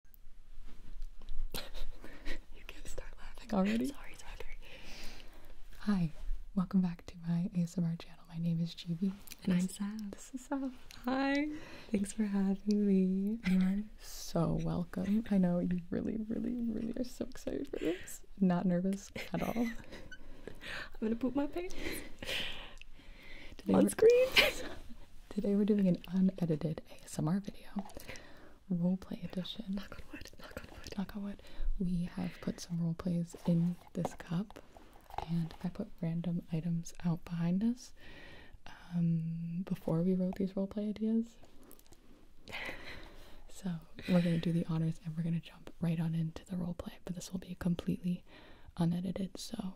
you can't start laughing already. Hi, welcome back to my ASMR channel. My name is GB. And I'm Sad. This is Sad. Hi. Thanks for having me. You're so welcome. I know you really, really, really are so excited for this. Not nervous at all. I'm gonna put my pants. Today On screen. Today we're doing an unedited ASMR video, roleplay edition. Knock on wood, knock on wood, knock on wood. We have put some roleplays in this cup, and I put random items out behind us um, before we wrote these roleplay ideas. So we're gonna do the honors and we're gonna jump right on into the roleplay, but this will be completely unedited. So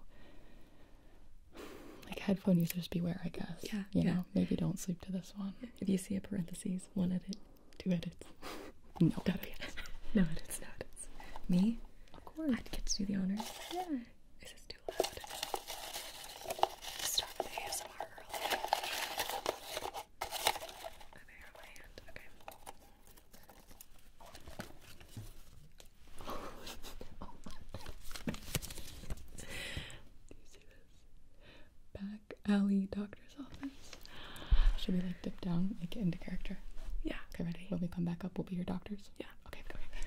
like headphone users beware, I guess. Yeah. You yeah. know, maybe don't sleep to this one. If you see a parentheses, one edit, two edits. no edits. no edits, no edits. Me? Of course. I'd get to do the honors. Yeah. This too loud. Start with ASMR early. Okay. Back alley doctor's office. Should we like dip down, get into character? Yeah. Okay, ready? When we come back up, we'll be your doctors? Yeah. Okay, go ahead.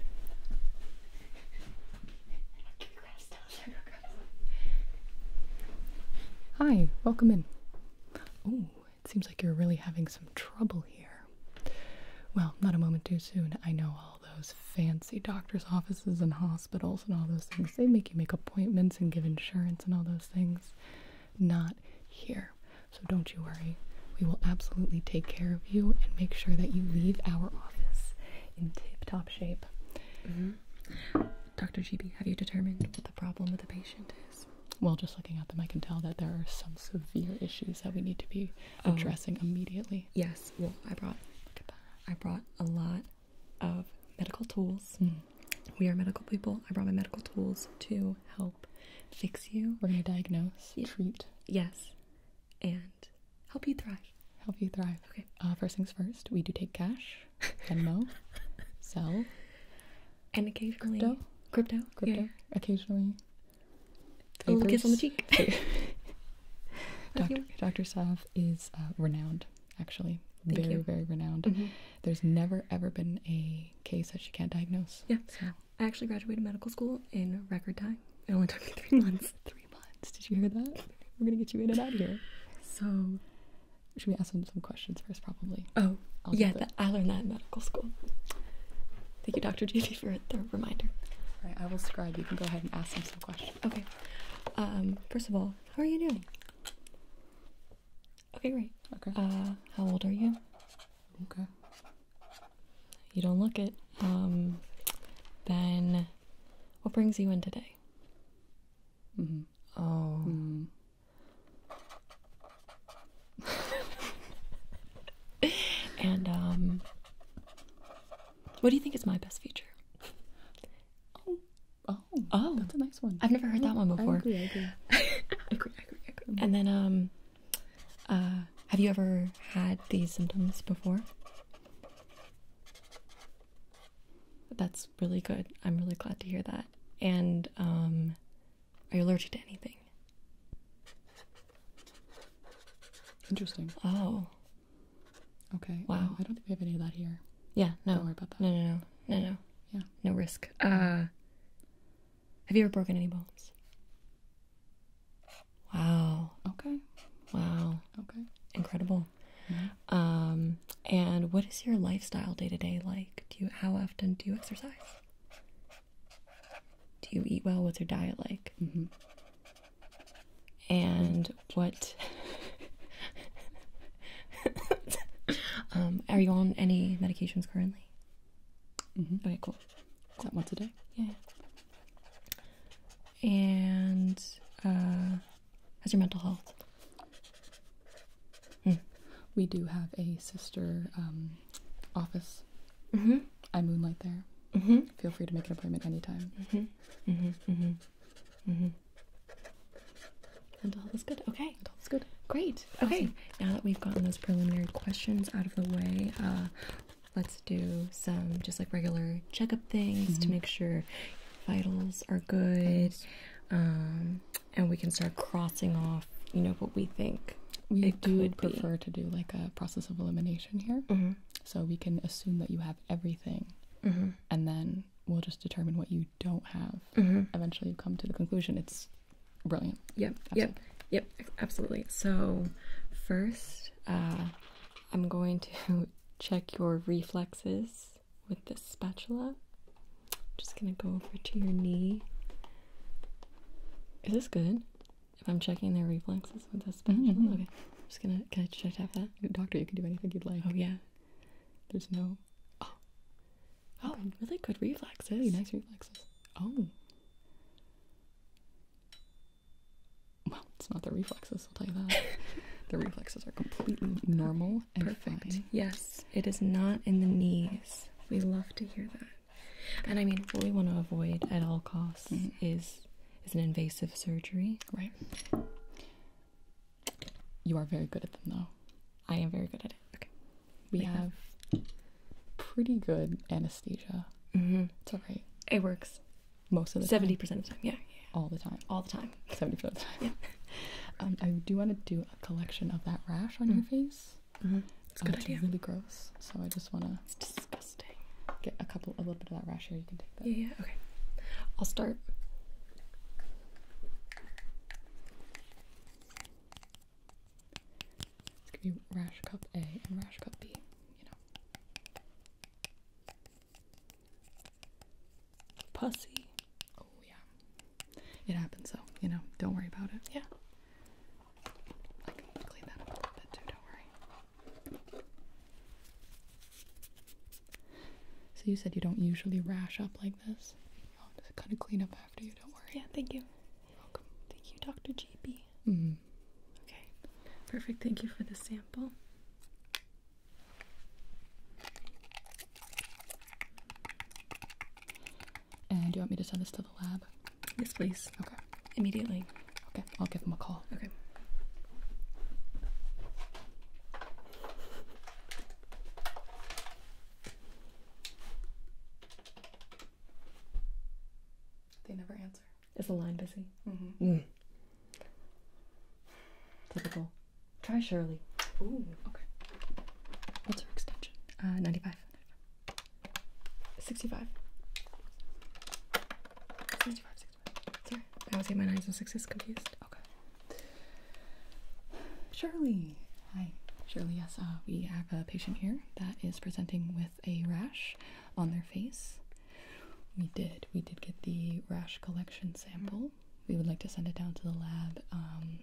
Hi, welcome in. Oh, it seems like you're really having some trouble here. Well, not a moment too soon. I know all those fancy doctor's offices and hospitals and all those things. They make you make appointments and give insurance and all those things. Not here. So don't you worry. We will absolutely take care of you and make sure that you leave our office in tip top shape. Mm-hmm. Dr. GB, have you determined what the problem with the patient is? Well, just looking at them, I can tell that there are some severe issues that we need to be oh. addressing immediately. Yes, well, I brought I brought a lot of medical tools. Hmm. We are medical people. I brought my medical tools to help fix you. We're gonna diagnose, treat, yes, and help you thrive. Help you thrive. Okay. Uh, first things first, we do take cash, Venmo, sell, and occasionally crypto, crypto, crypto. Occasionally, a little kiss on the cheek. Dr. Dr. Salve is uh, renowned, actually. very, very renowned. Mm-hmm. There's never ever been a case that she can't diagnose. Yeah. So. I actually graduated medical school in record time. It only took me three months. three months. Did you hear that? We're gonna get you in and out of here. So should we ask them some questions first probably? Oh. yeah, I learned that in medical school. Thank you, Dr. JP, for the reminder. Right, I will scribe. You can go ahead and ask them some questions. Okay. Um, first of all, how are you doing? Okay, great. Okay. Uh, how old are you? Okay. You don't look it. Um, then what brings you in today? mm Oh. Mm. and um what do you think is my best feature? Oh, oh, oh. that's a nice one. I've never heard that one oh, before. agree, agree. agree, agree, And then, um, uh, have you ever had these symptoms before? That's really good. I'm really glad to hear that. And, um, are you allergic to anything? Interesting. Oh. Okay. Wow. I don't think we have any of that here. Yeah. No. Don't worry about that. No. No. No. No. No. Yeah. No risk. Uh. Have you ever broken any bones? Wow. Okay. Wow. Okay. Incredible. Mm-hmm. Um. And what is your lifestyle day to day like? Do you how often do you exercise? Do you eat well? What's your diet like? Mm-hmm and what um, are you on any medications currently mm-hmm. okay cool is that once a day yeah and uh how's your mental health hmm. we do have a sister um, office mm-hmm. I moonlight there. Mm-hmm. Feel free to make an appointment anytime. Mm-hmm. Mm-hmm. Mm-hmm. mm-hmm. And all is good. Okay. all is good. Great. Okay. Now that we've gotten those preliminary questions out of the way, uh, let's do some just like regular checkup things to mm-hmm. make sure vitals are good, um, and we can start crossing off, you know, what we think. We do prefer to do like a process of elimination here. So we can assume that you have everything, mm-hmm. and then we'll just determine what you don't have. Mm-hmm. Eventually, you come to the conclusion. It's brilliant. Yep. Yep. Yep. Absolutely. So first, uh, I'm going to check your reflexes with this spatula. I'm just gonna go over to your knee. Is this good? If I'm checking their reflexes with this spatula, okay. I'm just gonna. Can I should that? Doctor, you can do anything you'd like. Oh yeah. There's no. Oh. Oh, really good reflexes. Really nice reflexes. Oh. Well, it's not the reflexes. I'll tell you that. the reflexes are completely normal perfect. Yes, it is not in the knees. We love to hear that. And I mean, what we want to avoid at all costs mm-hmm. is is an invasive surgery. Right. You are very good at them, though. I am very good at it. Okay. We have pretty good anesthesia. Mm-hmm. It's all right. It works. Most of the time. 70% of time, yeah. All the time. All the time. 70% of time. Yeah. Um, I do want to do a collection of that rash on your mm-hmm. face. Mm-hmm. It's a good uh, idea. really gross, so I just want to. It's disgusting. Get a couple, a little bit of that rash here. You can take that. Yeah, Okay. I'll start. give you rash cup A and rash cup B. You know. Pussy. Oh yeah. It happens So You know. Don't worry about it. Yeah. I can clean that up a bit too. Don't worry. So you said you don't usually rash up like this. I'll just kind of clean up after you. Don't worry. Yeah, thank you. You're welcome. Thank you, Doctor GP. Mm. Mm-hmm. Okay, perfect. Thank you for the sample. And do you want me to send this to the lab? Yes, please. Okay. Immediately. Okay, I'll give him a call. Okay. They never answer. Is the line busy? Mm-hmm. Mm. Typical. Try Shirley. Ooh, okay. What's her extension? Uh, 95. 65. Sorry, I was saying my 9s and 6s confused. Okay. Shirley. Hi. Shirley, yes, uh, we have a patient here that is presenting with a rash on their face. We did. We did get the rash collection sample. We would like to send it down to the lab um,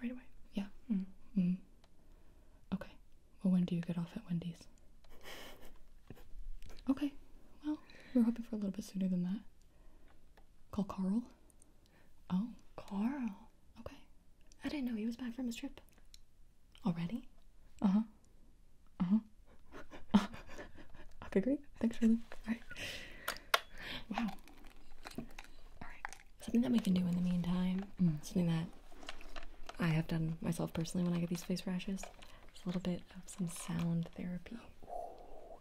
right away. Yeah. -hmm. Okay. Well, when do you get off at Wendy's? Okay, well, we are hoping for a little bit sooner than that. Call Carl. Oh, Carl. Okay. I didn't know he was back from his trip. Already? Uh huh. Uh huh. okay, great. Thanks, Shirley. All right. Wow. All right. Something that we can do in the meantime. Mm. Something that I have done myself personally when I get these face rashes. a little bit of some sound therapy.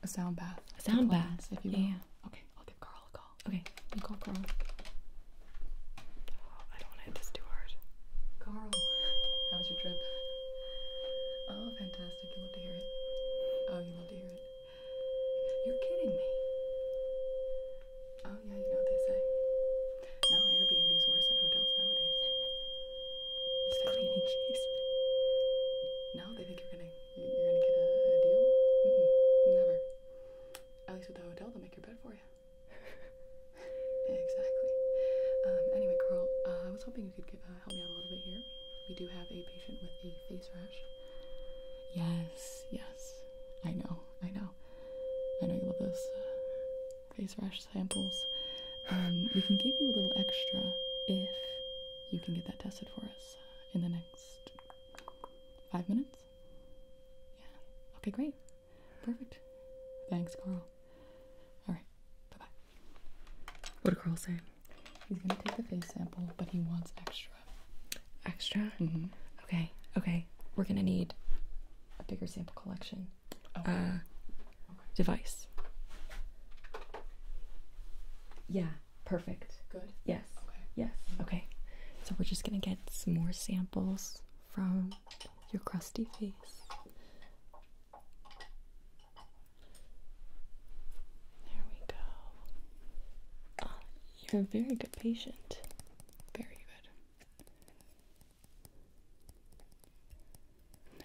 A sound bath. A sound bath, if you will. Okay, I'll give Carl a call. Okay, call Carl. Oh, I don't want to hit this too hard. Carl, how was your trip? Oh, fantastic! You love to hear it. Oh, you love to hear it. You're kidding me. Oh yeah, you know what they say. No, Airbnb is worse than hotels nowadays. Just stop eating cheese. No, they think you're gonna you're gonna get a, deal. never. At least with the hotel, they'll make your bed for you. exactly. Um, anyway, Carl, uh, I was hoping you could uh, help me out a little bit here. We do have a patient with a face rash. Yes, yes. I know, I know. I know you love this uh, face rash samples. Um, we can give you a little extra if you can get that tested for us in the next five minutes. Yeah. Okay, great. Perfect. Thanks, Carl. All right. Bye bye. What did Carl say? He's gonna take the face sample, but he wants extra. Extra? Mm-hmm. Okay. Okay. We're gonna need a bigger sample collection oh. Uh, device. Yeah, perfect. Good. Yes. Okay. Yes. Okay. So we're just gonna get some more samples from your crusty face. There we go. Ah, you're a very good patient. Very good.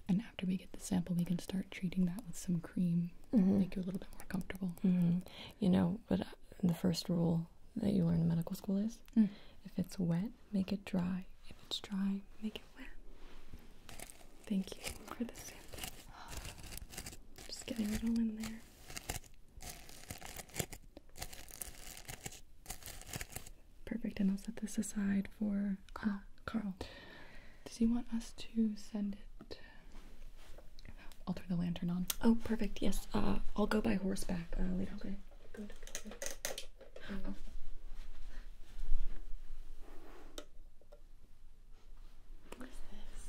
And after we get the sample, we can start treating that with some cream, mm make you a little bit more comfortable. Mm-hmm. You know, but uh, the first rule that you learn in medical school is mm. if it's wet, make it dry. If it's dry, make it wet. Thank you for the sample. Just getting it all in there. Perfect, and I'll set this aside for Carl. Does he want us to send it? I'll uh, turn the lantern on. Oh, perfect. Yes, uh, I'll go by horseback uh, later. Okay.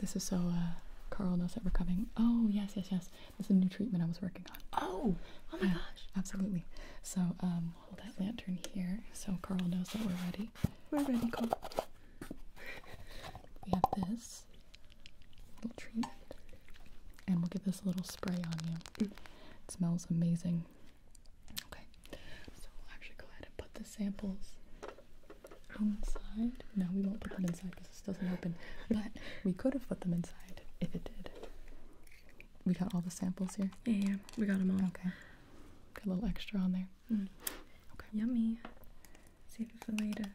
this? is so uh, Carl knows that we're coming. Oh yes, yes, yes. It's a new treatment I was working on. Oh, oh my gosh. Absolutely. So, um, hold that lantern here so Carl knows that we're ready. We're ready, Carl. We have this little treatment. And we'll get this little spray on you. Mm. It smells amazing. Okay. So we'll actually go ahead and put the samples inside. No, we won't put them inside this doesn't open. But we could have put them inside if it did. We got all the samples here? Yeah, yeah. We got them all. Okay. Got a little extra on there. Mm. Okay. Yummy. See Save it for later.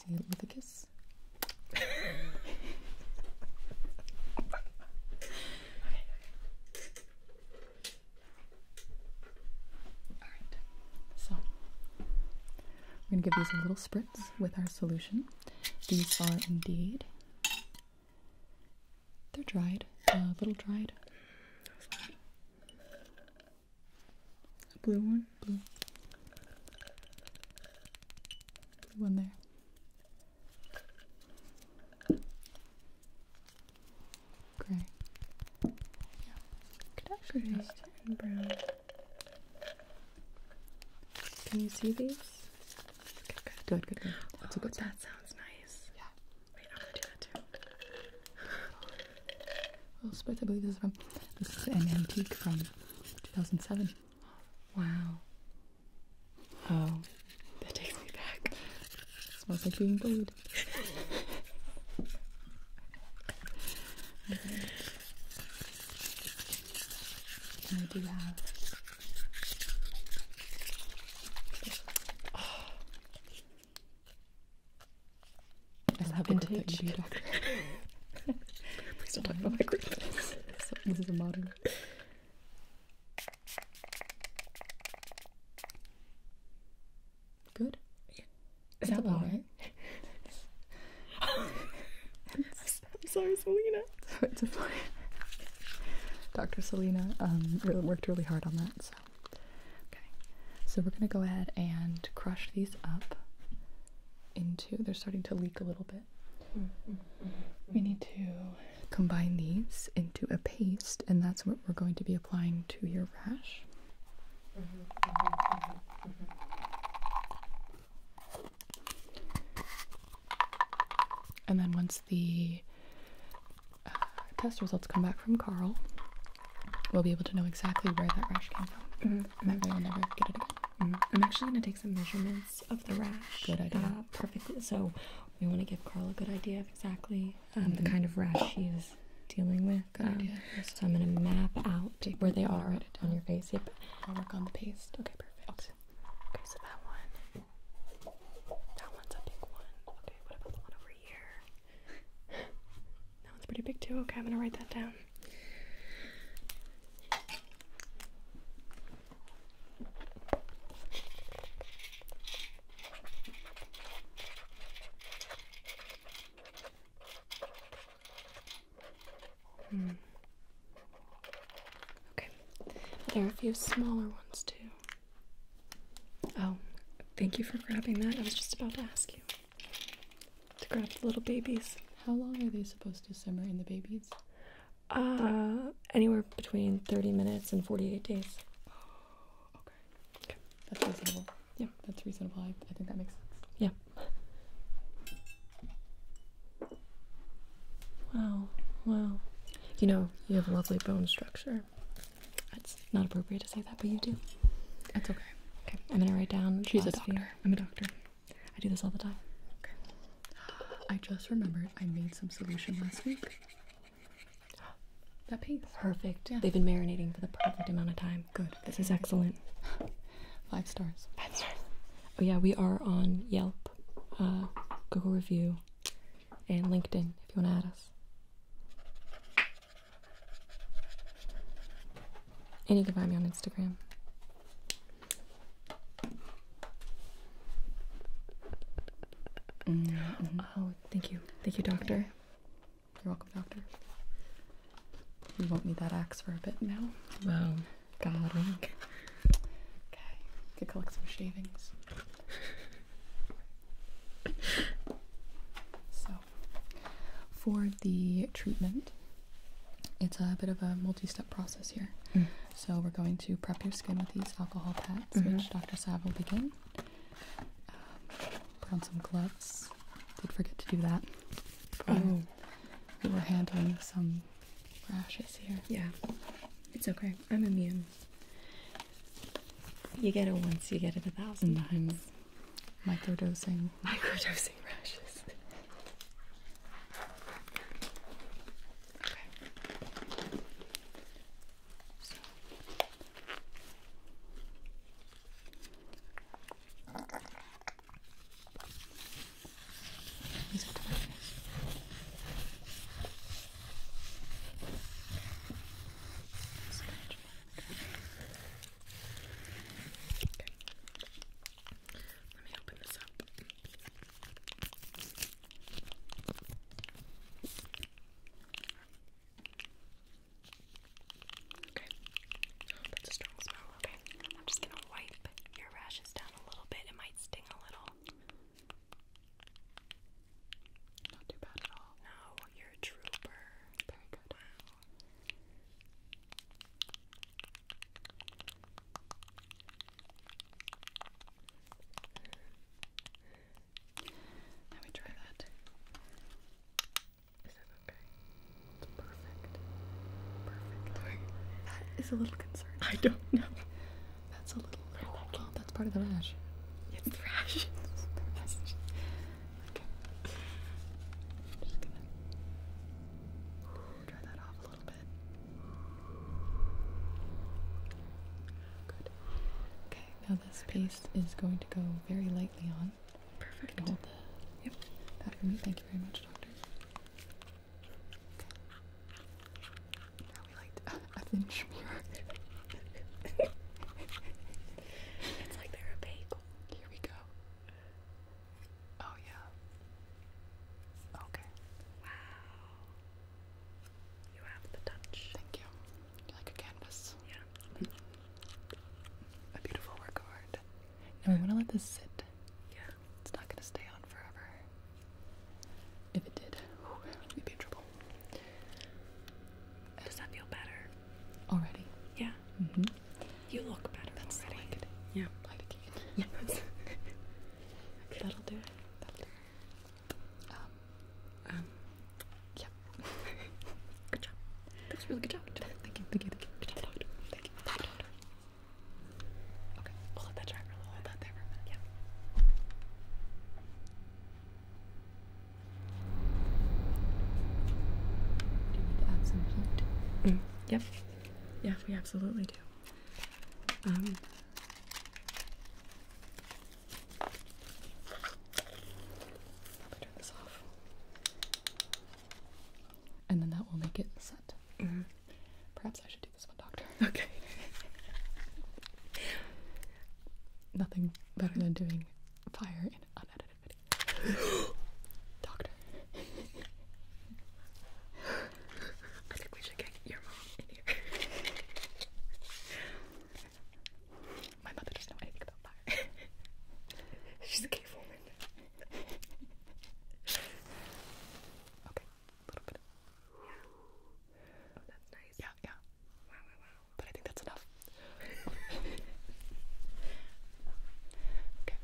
See it with a kiss. okay, Alright. So I'm gonna give these a little spritz with our solution. These are indeed, they're dried, a little dried. blue one, blue. Blue one there. Gray. Yeah. Could actually brown. Can you see these? Okay, good. Good, good, oh, that sounds nice. Yeah. Wait, I'm gonna do that too. oh, I believe this is from. This is an antique from 2007. Wow. Oh, that takes me back. smells like being bullied. I do have this one. Oh. Is that vintage? That Please don't talk about my group. this is a modern. Good? Is that all right? I'm sorry, Selena. So it's a point. Dr. Selena um, worked really hard on that. So, okay. So we're gonna go ahead and crush these up into. They're starting to leak a little bit. We need to combine these into a paste, and that's what we're going to be applying to your rash. Mm-hmm, mm-hmm, mm-hmm, and then once the uh, test results come back from Carl, we'll be able to know exactly where that rash came from. Mm-hmm. Mm-hmm. I'm actually going to take some measurements of the rash. Good idea. Uh, perfectly. So we want to give Carl a good idea of exactly um, the mm-hmm. kind of rash she is dealing with. Good um, idea. So I'm going to map out where they are on your face. Yep. I'll work on the paste. Okay, perfect. Okay, so that one. That one's a big one. Okay, what about the one over here? that one's pretty big too. Okay, I'm gonna write that down. Hmm. Okay. There are a few smaller ones too. Oh, thank you for grabbing that. I was just about to ask you to grab the little babies. How long are they supposed to simmer in the babies? Uh, anywhere between 30 minutes and 48 days. Oh, okay. That's reasonable. Yeah. That's reasonable. I, I think that makes sense. Yeah. Wow, wow. You know, you have a lovely bone structure. It's not appropriate to say that, but you do. It's okay. Okay, I'm gonna write down. She's a doctor. I'm a doctor. I do this all the time. Okay. I just remembered I made some solution last week. That pink. Perfect. They've been marinating for the perfect amount of time. Good. This is excellent. Five stars. Five stars. Oh yeah, we are on Yelp, uh, Google Review, and LinkedIn if you want to add us. And you can find me on Instagram. Mm, mm-hmm. Oh, thank you. Thank you, doctor. You're welcome, doctor. We won't need that axe for a bit now. Wow. Garling. Okay, Can collect some shavings. so, for the treatment, it's a bit of a multi step process here. Mm. So, we're going to prep your skin with these alcohol pads, which mm-hmm. Dr. Sav will begin. put um, on some gloves. Did forget to do that. Oh we were handling some rashes here. Yeah, it's okay. I'm immune. You get it once, you get it a thousand times. Microdosing. Microdosing rashes. Okay. So. These are delicious. Let's page one. Okay. Let me open this up. Okay that's a strong smell. Okay, I'm just gonna wipe your rashes down a little bit. It might sting a little. Not too bad at all. No, you're a trooper. Very good. Let me try that. Is that okay? It's perfect. Perfect. That is a little concerning. I don't know. That's a little. Oh, that's part of the rash. It's the rash. okay. just gonna dry that off a little bit. Good. Okay, now this paste is going to go very lightly on. Perfect. yep. That me. Thank you very much, doctor. Now we like a thin smear. it's like they're a Here we go. Oh yeah. Okay. Wow. You have the touch. Thank you. like a canvas? Yeah. A beautiful work of art. Now we want to let this sit yeah, it's not gonna stay on forever. If it did, whew, we'd be in trouble. Does that feel better? Already? Yeah. Mm-hmm. You look better. That's already. the light. Yeah. Light again. Yeah. okay. That'll do it. That'll do it. Um. Um. Yep. Yeah. good job. That was really good job. Thank you. Thank you. Thank you. Good job. Thank you. Thank you. Okay, hold that driver. Hold that there for a minute. Yeah. Do you need to add some heat? Mm, yep. Yeah, we absolutely do. Um, I'll turn this off and then that will make it set. Mm -hmm. Perhaps I should do this one, doctor. Okay. Nothing better than doing fire in an unedited video. doctor. I think we should get your mom in here. My mother doesn't know anything about fire. She's a cave woman okay, a little bit. Oh, that's nice. Yeah, yeah. Wow, wow, wow. But I think that's enough. okay.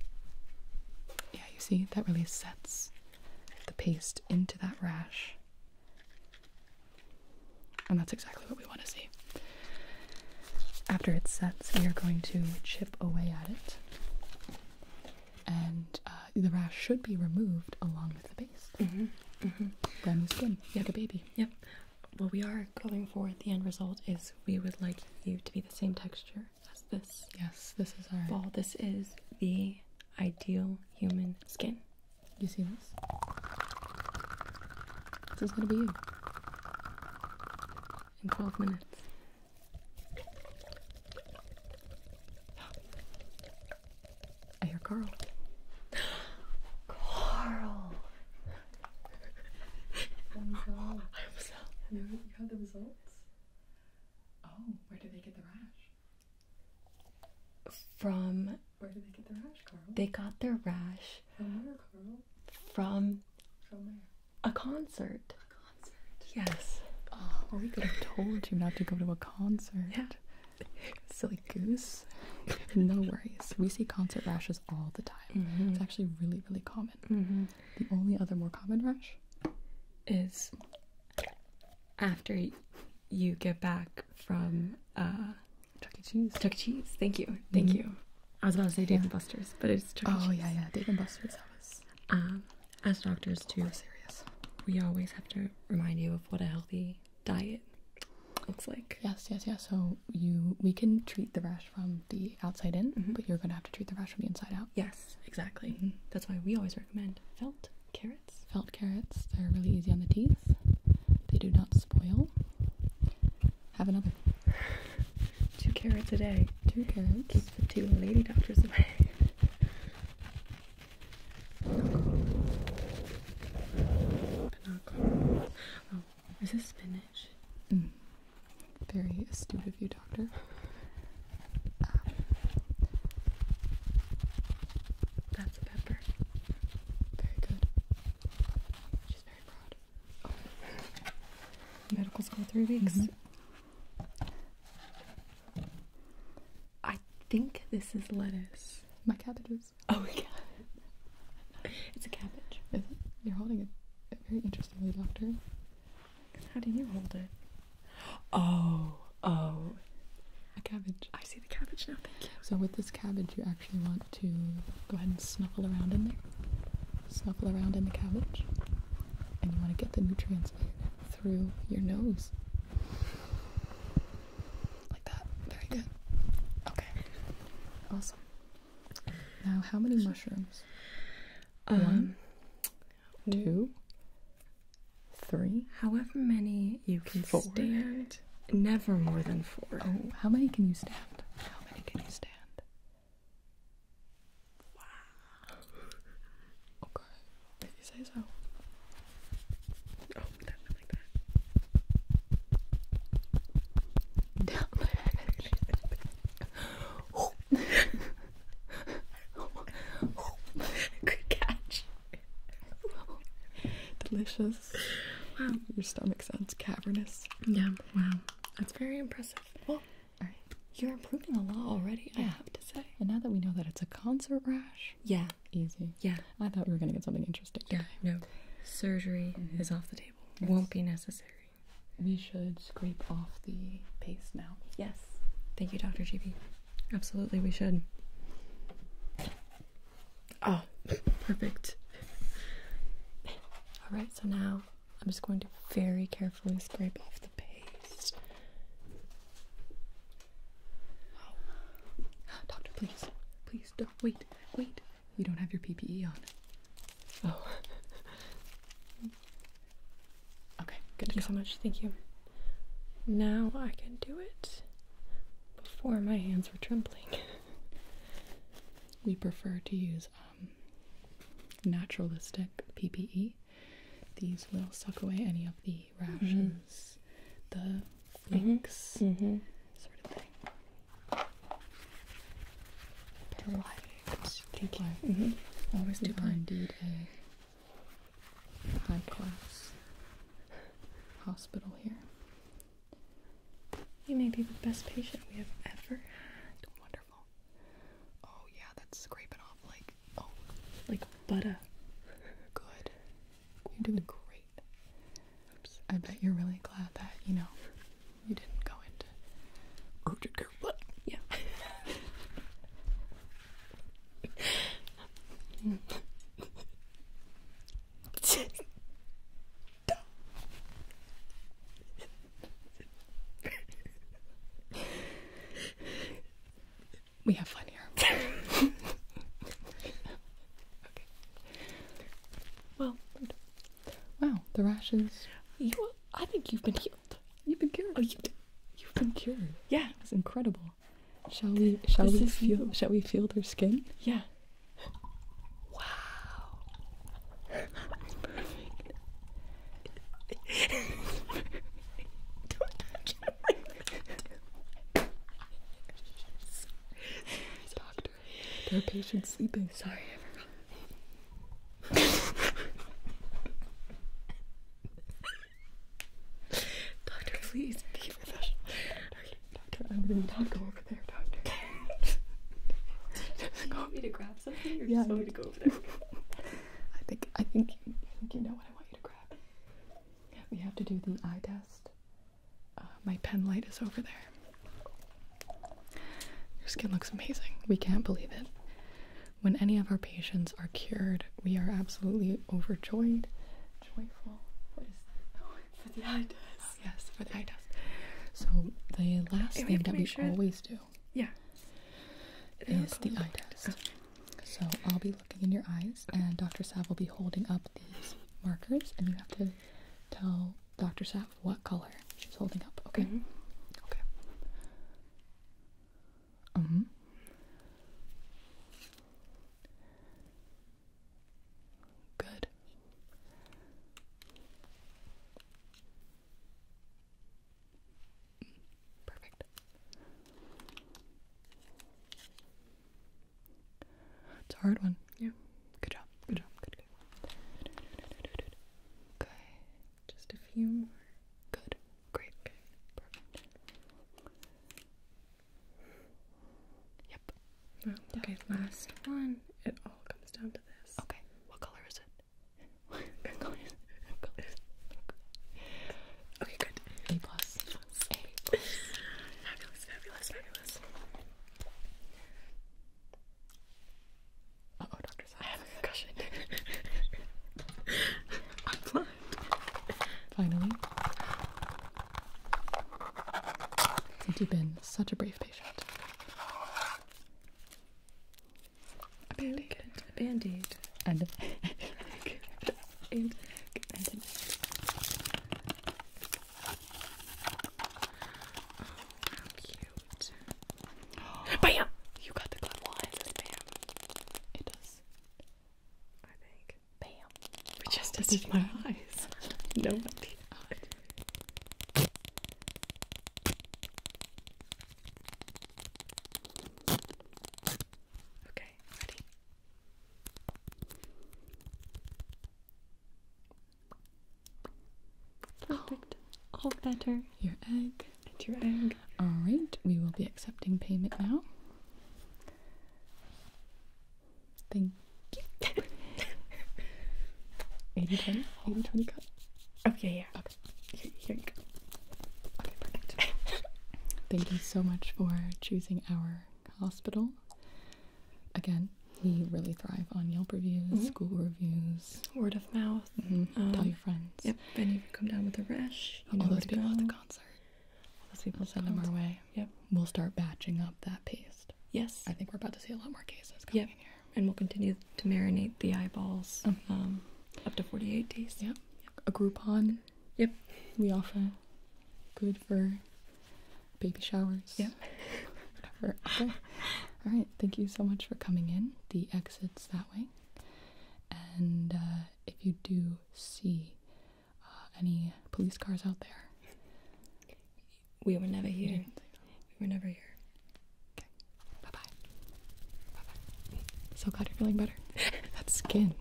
Yeah, you see, that really sets the paste into that rash. And that's exactly what we want to see. After it sets, we are going to chip away at it. And uh, the rash should be removed along with the base. Mm new skin, yep. like a baby. Yep. What we are going for, the end result is we would like you to be the same texture as this. Yes, this is our ball. This is the ideal human skin. You see this? This is gonna be you in 12 minutes. I hear Carl. Carl! One result. I was up. You have the results? Oh, where did they get the rash? From. Where did they get the rash, Carl? They got their rash. From where, Carl? From. A concert. Yes. Oh, we could have told you not to go to a concert. Yeah. Silly goose. no worries. We see concert rashes all the time. Mm-hmm. It's actually really, really common. Mm-hmm. The only other more common rash is after you get back from uh, Chuck Cheese. Chuck Cheese. Thank you. Thank mm-hmm. you. I was about to say Dave and Buster's, but it's too. Oh, yeah, yeah, Dave and Buster's. That Um, as doctors, too, serious. we always have to remind you of what a healthy diet looks like. Yes, yes, yes. So you, we can treat the rash from the outside in, mm-hmm. but you're going to have to treat the rash from the inside out. Yes, exactly. Mm-hmm. That's why we always recommend felt carrots. Felt carrots. They're really easy on the teeth. They do not spoil. Have another. two carrots a day. Two carrots. Keep two lady doctors away. Binoculars. Oh, is this spinach? Mm. Very astute of you, doctor. that's pepper. Very good. Medical school three weeks. Mm-hmm. I think this is lettuce. My cabbages. Oh yeah, it's a cabbage. Is it? You're holding it very interestingly, doctor. How do you hold it? Oh, oh, a cabbage. I see the cabbage now. Thank you. So with this cabbage, you actually want to go ahead and snuffle around in there snuffle around in the cabbage, and you want to get the nutrients through your nose. Like that. Very good. Okay. Awesome. Now, how many mushrooms? Um, One, two, three. However many you can stand. Never more than four. Oh, how many can you stand? How many can you stand? Wow. Okay. Did you say so? Oh, that like that. Down there. Good catch. Delicious. Wow. Your stomach sounds cavernous. Yeah, wow. That's very impressive. Well, all right. You're improving a lot already, I have to say. And now that we know that it's a concert rash. Yeah. Easy. Yeah. I thought we were going to get something interesting. Today. Yeah, no. Surgery mm-hmm. is off the table. Won't be necessary. We should scrape off the paste now. Yes. Thank you, Dr. GB. Absolutely, we should. Oh, perfect. All right, so now I'm just going to very carefully scrape off the paste. Doctor, please. Please don't. Wait. Wait. You don't have your PPE on. Oh. okay, good Thank you so much. Thank you. Now I can do it. Before my hands were trembling. we prefer to use um, naturalistic PPE. These will suck away any of the mm-hmm. rashes, the mm-hmm. flakes, mm-hmm. sort of thing. Always do indeed a high class hospital here. You may be the best patient we have ever had. Oh yeah, that's scraping off like oh like butter. Good. You're doing great. I bet you're really glad that, you know, you didn't go into urgent care. But yeah. we have fun here. okay. Well, wow, the rashes. You, I think you've been healed. You've been cured. Oh, you, you've been cured. Yeah, it's incredible. Shall we? Shall we feel? Shall we feel their skin? Yeah. Wow. Don't touch him like Doctor, there are patients sleeping. Sorry, I forgot. Doctor, please be professional. Okay, doctor, I'm gonna not go over there, doctor. Do you want me to grab yeah, I think I think you, I think you know what I want you to grab. We have to do the eye test. Uh, my pen light is over there. Your skin looks amazing. We can't believe it. When any of our patients are cured, we are absolutely overjoyed, joyful. What is that? Oh, for the eye test. Oh, yes, for the eye test. So the last thing that we sure always do yeah. Is the eye test. So I'll be looking in your eyes, and Dr. Sav will be holding up these markers, and you have to tell Dr. Sav what color she's holding up. Okay. Mm-hmm. Okay. -hmm. Good. Perfect. It's a hard one. Yeah. Good job. Good job. Good. Good. Okay. Just a few more. Good. Great. Okay. Perfect. Yep. okay. Last one. It all comes down to this. Okay. What color is it? Okay, good. A plus. Fabulous, fabulous, fabulous. Uh oh, Dr. I have a concussion. I'm blind. Finally. Since you've been such a brave patient. A blanket, a band-aid, and a blanket, and a blanket. Oh, how cute. Bam! You got the glove. Why is this bam? It does. I think. Bam. But oh, just as with my eyes. no idea. Okay, ready? Perfect. All better. Your egg. And your egg. Alright, we will be accepting payment now. Thank you. 80 20. Oh Okay. Here, you go. Okay, perfect. Thank you so much for choosing our hospital. Again, we really thrive on Yelp reviews, mm mm-hmm. school reviews, word of mouth. Mm Tell your friends. Yep. And if you come down with a rash, you know all those people at the concert. All those people send them our way. Yep. We'll start batching up that paste. Yes. I think we're about to see a lot more cases coming here and we'll continue to marinate the eyeballs mm-hmm. um, up to 48 days. Yep. A Groupon. Yep. We offer good for baby showers. Yep. Whatever. All right. Thank you so much for coming in. The exit's that way. And uh, if you do see uh, any police cars out there, we were never here. We were never here. Okay. Bye bye. Bye bye. So glad you're feeling better. that skin.